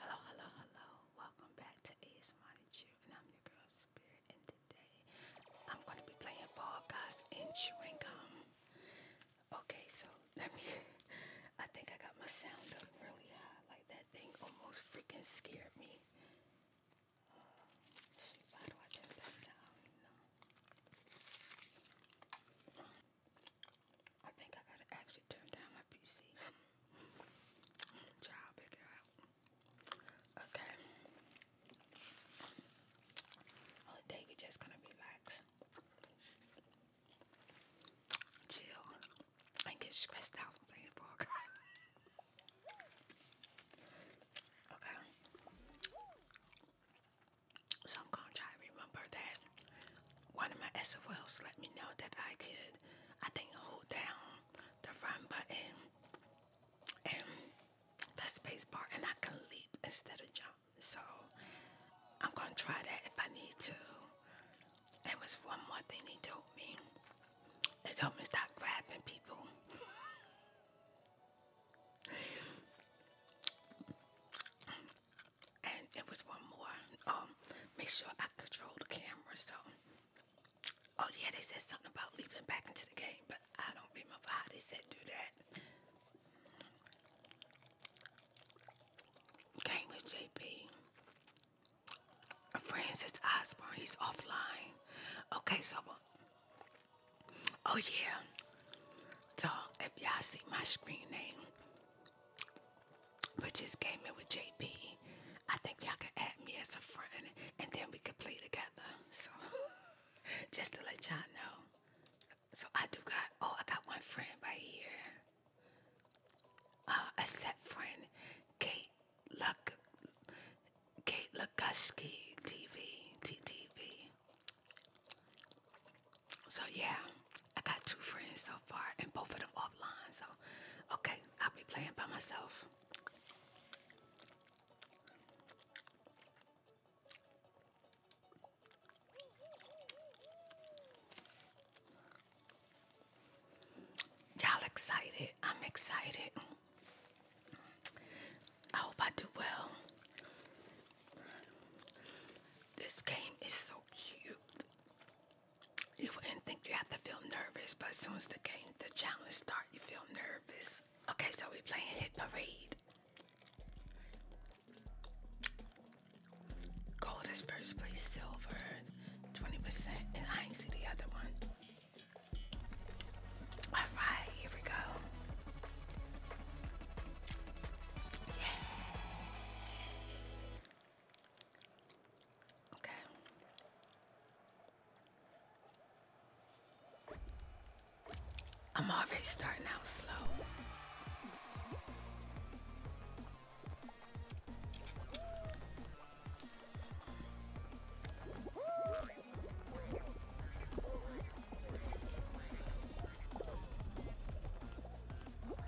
Hello, hello, hello. Welcome back to Ace Money and I'm your girl Spirit. And today I'm going to be playing Ball Guys and Chewing Okay, so let me. I think I got my sound up really high. Like that thing almost freaking scared me. Uh, I think I gotta actually turn down my PC. Try to figure out. Okay. Well, Davey just gonna relax, chill, and get stressed out from playing ball. okay. So I'm gonna try remember that one of my SFLs let me know that I could, I think, hold down the run button and the space bar and I can leap instead of jump. So I'm going to try that if I need to. And was one more thing they told me. They told me stop grabbing people and it was one more. Um, make sure I control the camera. So, oh yeah, they said something about leaping back into the game, but I don't remember how they said do that. Game with JP. Francis Osborne, he's offline. Okay, so, uh, oh yeah. So, if y'all see my screen name, we just game in with JP. I think y'all can add me as a friend and then we could play together. So just to let y'all know. So I do got oh I got one friend right here. Uh a set friend, Kate Luck Kate Lugushki TV TTV. So yeah. I got two friends so far, and both of them offline. So, okay, I'll be playing by myself. Y'all excited? I'm excited. I hope I do well. This game is so cute. You wouldn't think you have to feel nervous, but as soon as the game, the challenge starts, you feel nervous. Okay, so we're playing Hit Parade. Gold is first place, silver 20%, and I ain't see the other one. Alright, here we go. Okay. I'm already starting out slow.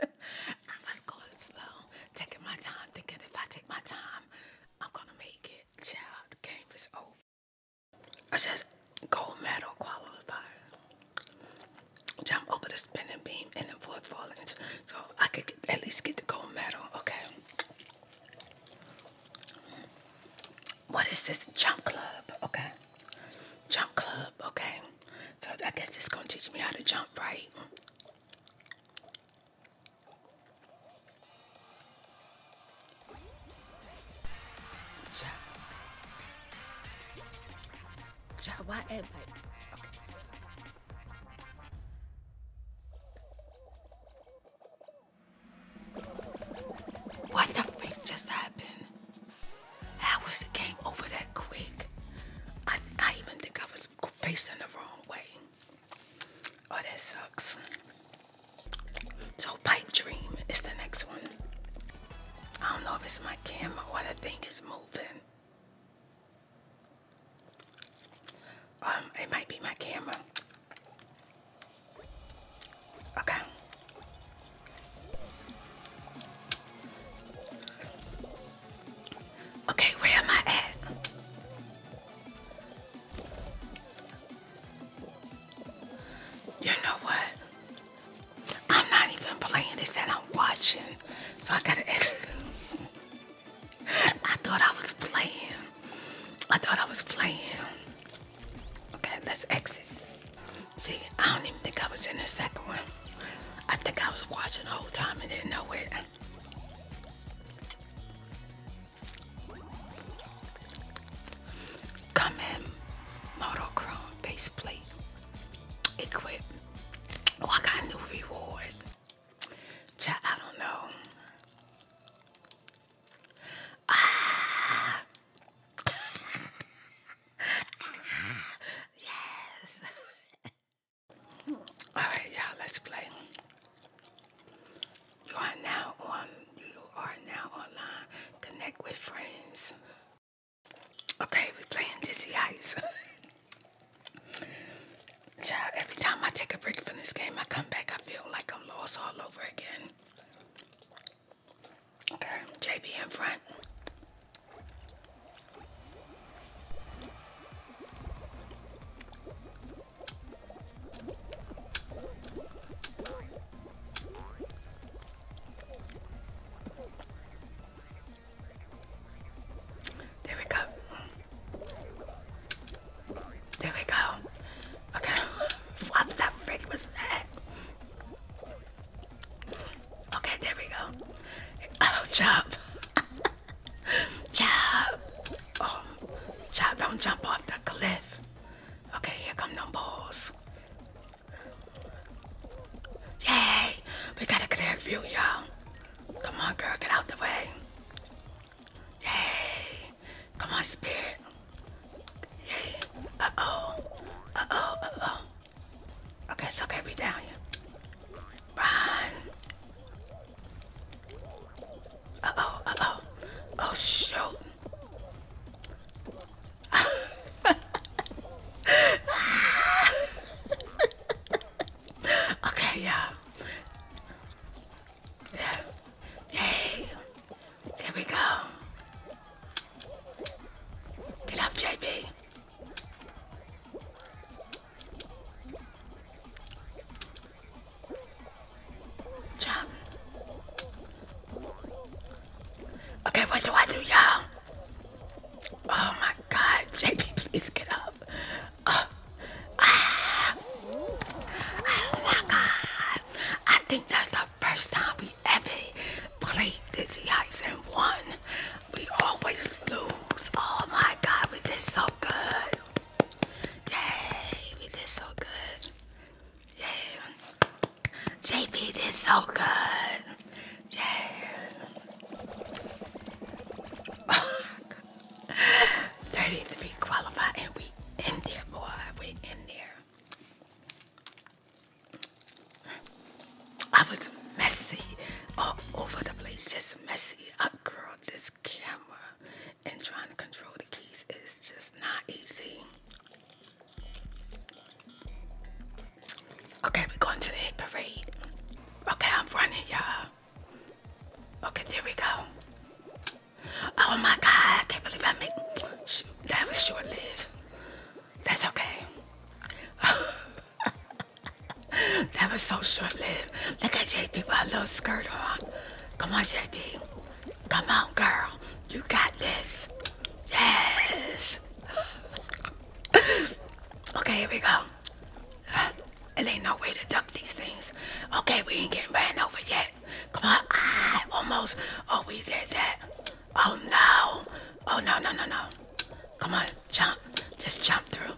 I was going slow, taking my time, thinking if I take my time, I'm gonna make it. Child, the game is over. I just gold medal qualifier. Jump over the spinning beam and avoid falling, so I could at least get the gold medal. Okay, what is this? Jump club, okay. Jump club, okay. So I guess this gonna teach me how to jump, right? Jump. Jump. Why everybody? Okay. What the freak just happened? How was the game over that quick? I, I even think I was facing the wrong way. Oh, that sucks. So, Pipe Dream is the next one. I don't know if it's my camera or the thing is moving. Um, it might be my camera. Okay. Okay, where am I at? You know what? I'm not even playing this and I'm watching. So I gotta exit. I thought I was playing. I thought I was playing. Okay, let's exit. See, I don't even think I was in the second one. I think I was watching the whole time and didn't know it. Come in, monochrome base plate, equip. Oh, I got a new reward. Chat, I don't know. Ah. Yes. All right, y'all. Let's play. You are now on. You are now online. Connect with friends. Okay, we're playing Dizzy Ice. Child, every time I take a break from this game, I come back. I feel like I'm lost all over again. Okay, JB in front. There we go. There we go. Okay. Flop that freak was that. Okay, there we go. Oh, chop. chop. Oh, chop, don't jump off the cliff. Okay, here come the balls. Yay! We got a clear view, y'all. Come on, girl, get out the way. Yay! Come on, spirit. Yay! Uh oh. Uh oh. Uh oh. Okay, it's okay. Be down here. Run. Uh oh. Uh oh. Oh shoot. okay, y'all. Yes. Yay. There we go. Get up, JB. Jump. Okay, what do I do, y'all? Oh my god, J B, please get up. Uh, ah. oh my god, I think that's the first time we ever played Dizzy ice and won. We always lose. Oh my God, we did so good. Yay, we did so good. Yay, JP did so good. Yay. 33 qualified and we in there, boy. We in there. I was messy all over the place, just messy. I girl, this camera and trying to control the keys is just not easy. Okay, we're going to the hit parade. Okay, I'm running, y'all. Okay, there we go. Oh my God, I can't believe I made, that was short lived. That's okay. that was so short lived. Look at JP with her little skirt on. Come on, JP. Come on, girl. You got this. Yes. okay, here we go. It ain't no way to dunk these things. Okay, we ain't getting ran over yet. Come on. Ah, almost. Oh, we did that. Oh, no. Oh, no, no, no, no. Come on. Jump. Just jump through.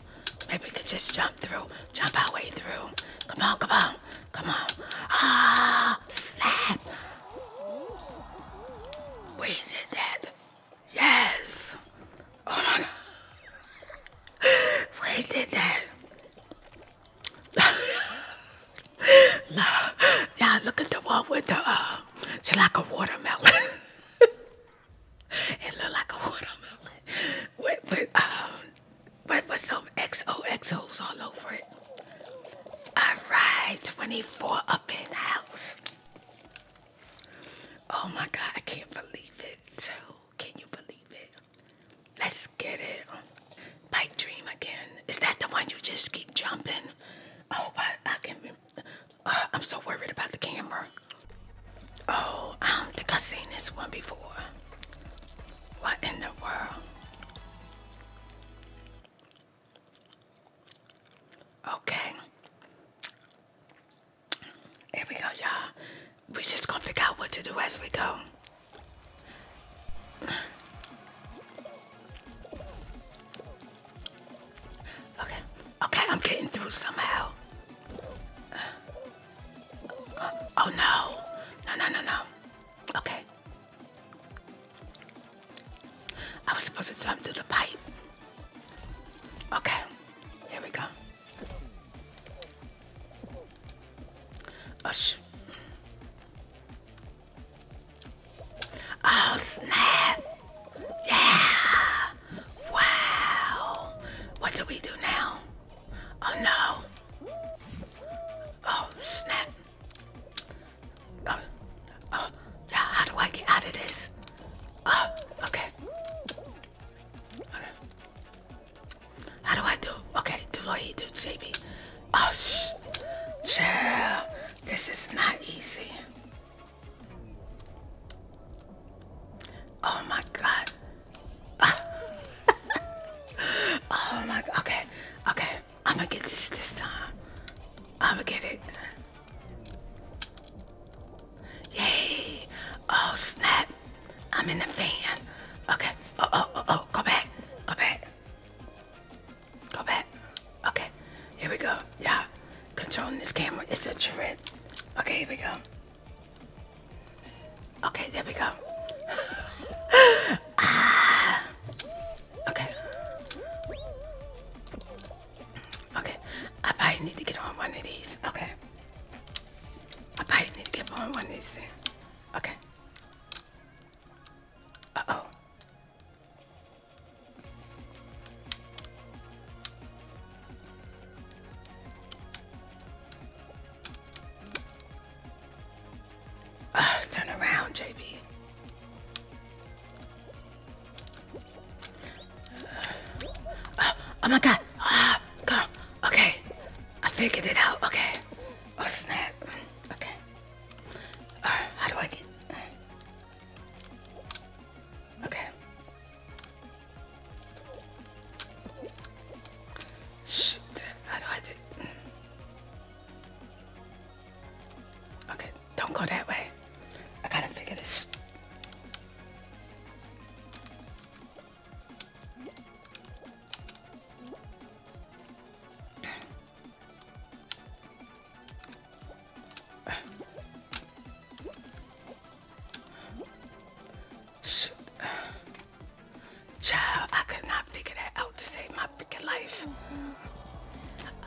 Maybe we could just jump through. Jump our way through. Come on, come on. Come on. Ah, snap. We did that. Yes. Oh, my God. we did that. yeah, look at the one with the, uh, she like a watermelon. it looked like a watermelon with, with, um, with, with some XOXOs all over it. All right, 24 up in the house. Oh my God, I can't believe it. Too. Can you believe it? Let's get it. Pipe dream again. Is that the one you just keep jumping? Oh, I, I can. Uh, I'm so worried about the camera. Oh, um, I don't think I've seen this one before. What in the world? Okay. Here we go, y'all. We just gonna figure out what to do as we go. Okay, okay, I'm getting through somehow. oh no, no, no, no. Okay. I was supposed to jump through the pipe. Okay, here we go oh snap! Yeah! Wow! What do we do now? Oh no! Oh snap! Oh, oh yeah! How do I get out of this? Oh, okay. How do I do? Okay, do I do JB? Oh, shh. this is not easy. Oh my God. oh my, God. okay, okay. I'm gonna get this this time. I'm gonna get it. Yay. Oh snap. I'm in the fan. Okay. Oh, oh, oh, oh. Go back. Go back. Go back. Okay, here we go. Yeah, controlling this camera. It's a trip. Okay, here we go. Okay, there we go. Ah. Okay. Okay, I probably need to get on one of these. Okay. I probably need to get on one of these things. Okay. Uh-oh. Uh, turn around, JB. Uh, oh my god. Ah, uh, go. Okay. I figured it out. Okay. Oh, snap. Okay. how do I get? Okay. Shoot! How do I do? Okay, don't go that way. I gotta figure this. Shoot. Child, I could not figure that out to save my freaking life.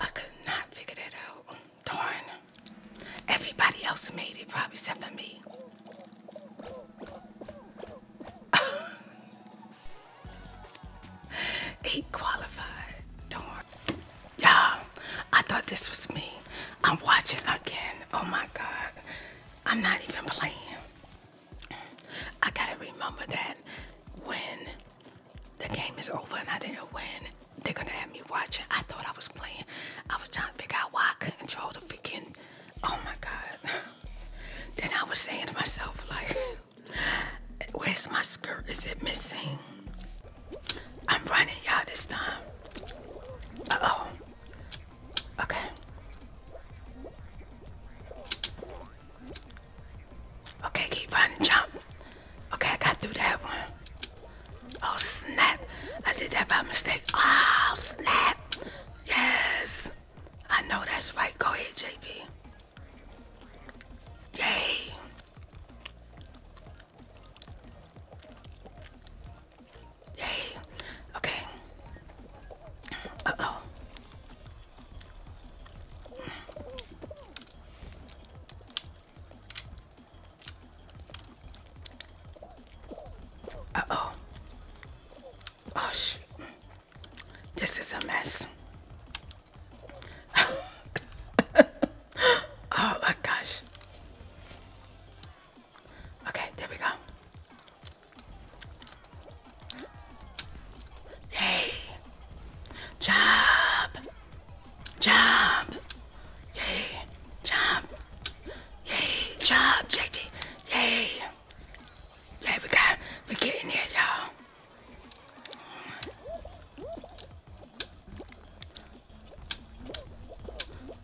I could not figure that out. Darn. Everybody else made it, probably except for me. Eight qualified. Darn. Y'all, I thought this was me. I'm watching again. Oh my God. I'm not even playing. I gotta remember that when the game is over and I didn't win, they're gonna have me watching. I thought I was playing. I was trying to figure out why I couldn't control the freaking oh my God. Then I was saying to myself, like, where's my skirt? Is it missing? I'm running y'all this time. Uh-oh. Okay. Okay, keep running, jump. Okay, I got through that one. Oh, snap. I did that by mistake. Oh, snap. Yes. I know that's right. Go ahead, JP. Yay. Yay. Okay. Uh-oh. Uh-oh. Oh, shit. This is a mess. oh my gosh. Okay, there we go. Yay! Jump! Jump! Yay! Jump! Yay! Jump, JD! Yay! Yeah, we got, we're getting there, y'all.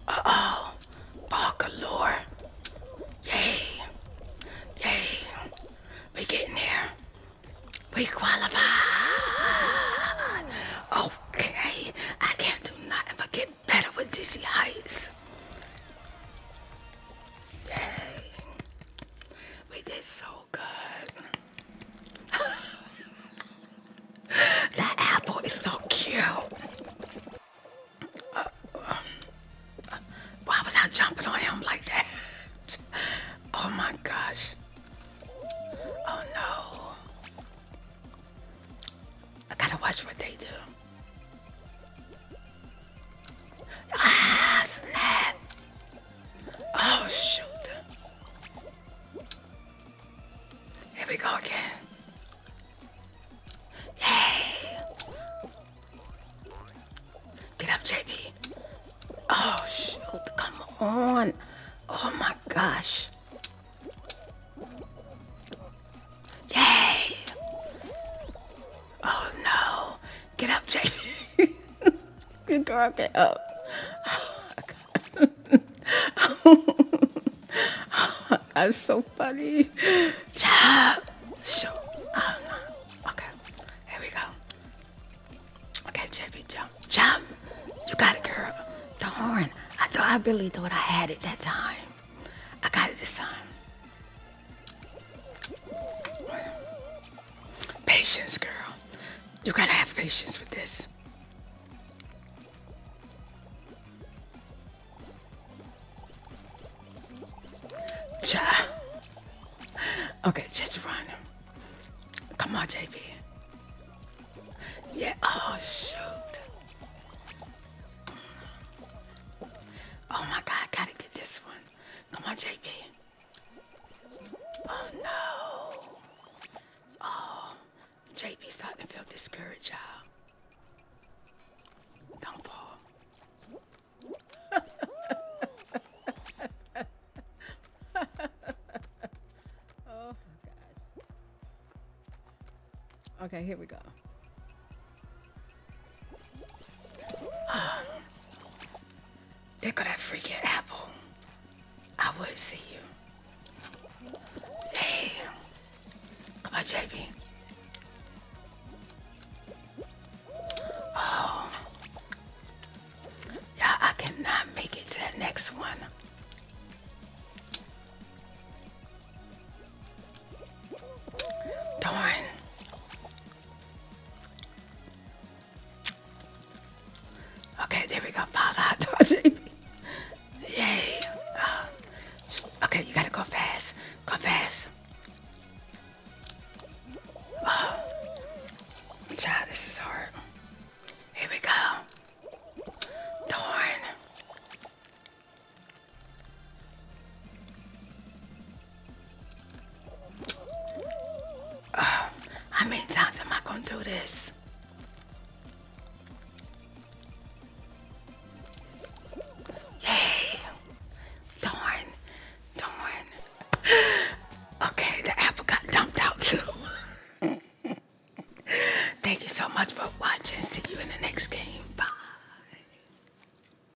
Uh-oh. Ball galore. Yay. Yay. We getting there. We qualified. Okay. I can't do nothing but get better with dizzy heights. Dang. We did so good. that apple is so cute. why was I jumping on him like that? oh my gosh. Oh no. I gotta watch what they do. Ah, snap. Oh, shoot. Here we go again. Yay. Get up, JB. Oh, shoot. Come on. Oh, my gosh. Yay. Oh, no. Get up, Jamie. Good girl, get up. Oh my god. oh so funny. Chop. Show. Oh uh, Okay. Here we go. Okay, Jamie, jump. Jump. You got it, girl. The horn. I thought I really thought I had it that time. I got it this time. Patience, girl. You gotta have patience with this. Cha. Okay, just run. Come on, J. V. Yeah, oh shoot. Oh my god, gotta get this one. Come on, JP. Oh no. Oh, JP's starting to feel discouraged, y'all. oh my gosh. Okay, here we go. Um, there that freaking apple. I would see you. Damn. Come on, JB. Oh. Yeah, I cannot make it to the next one. Darn. Okay, there we go. Follow out, Yay. Uh, okay, you gotta go fast. Go fast. Oh, this is hard. Here we go. Darn. Uh, how many times am I going to do this? Yay! Darn, darn. Okay, the apple got dumped out too. Thank you so much for watching. See you in the next game. Bye.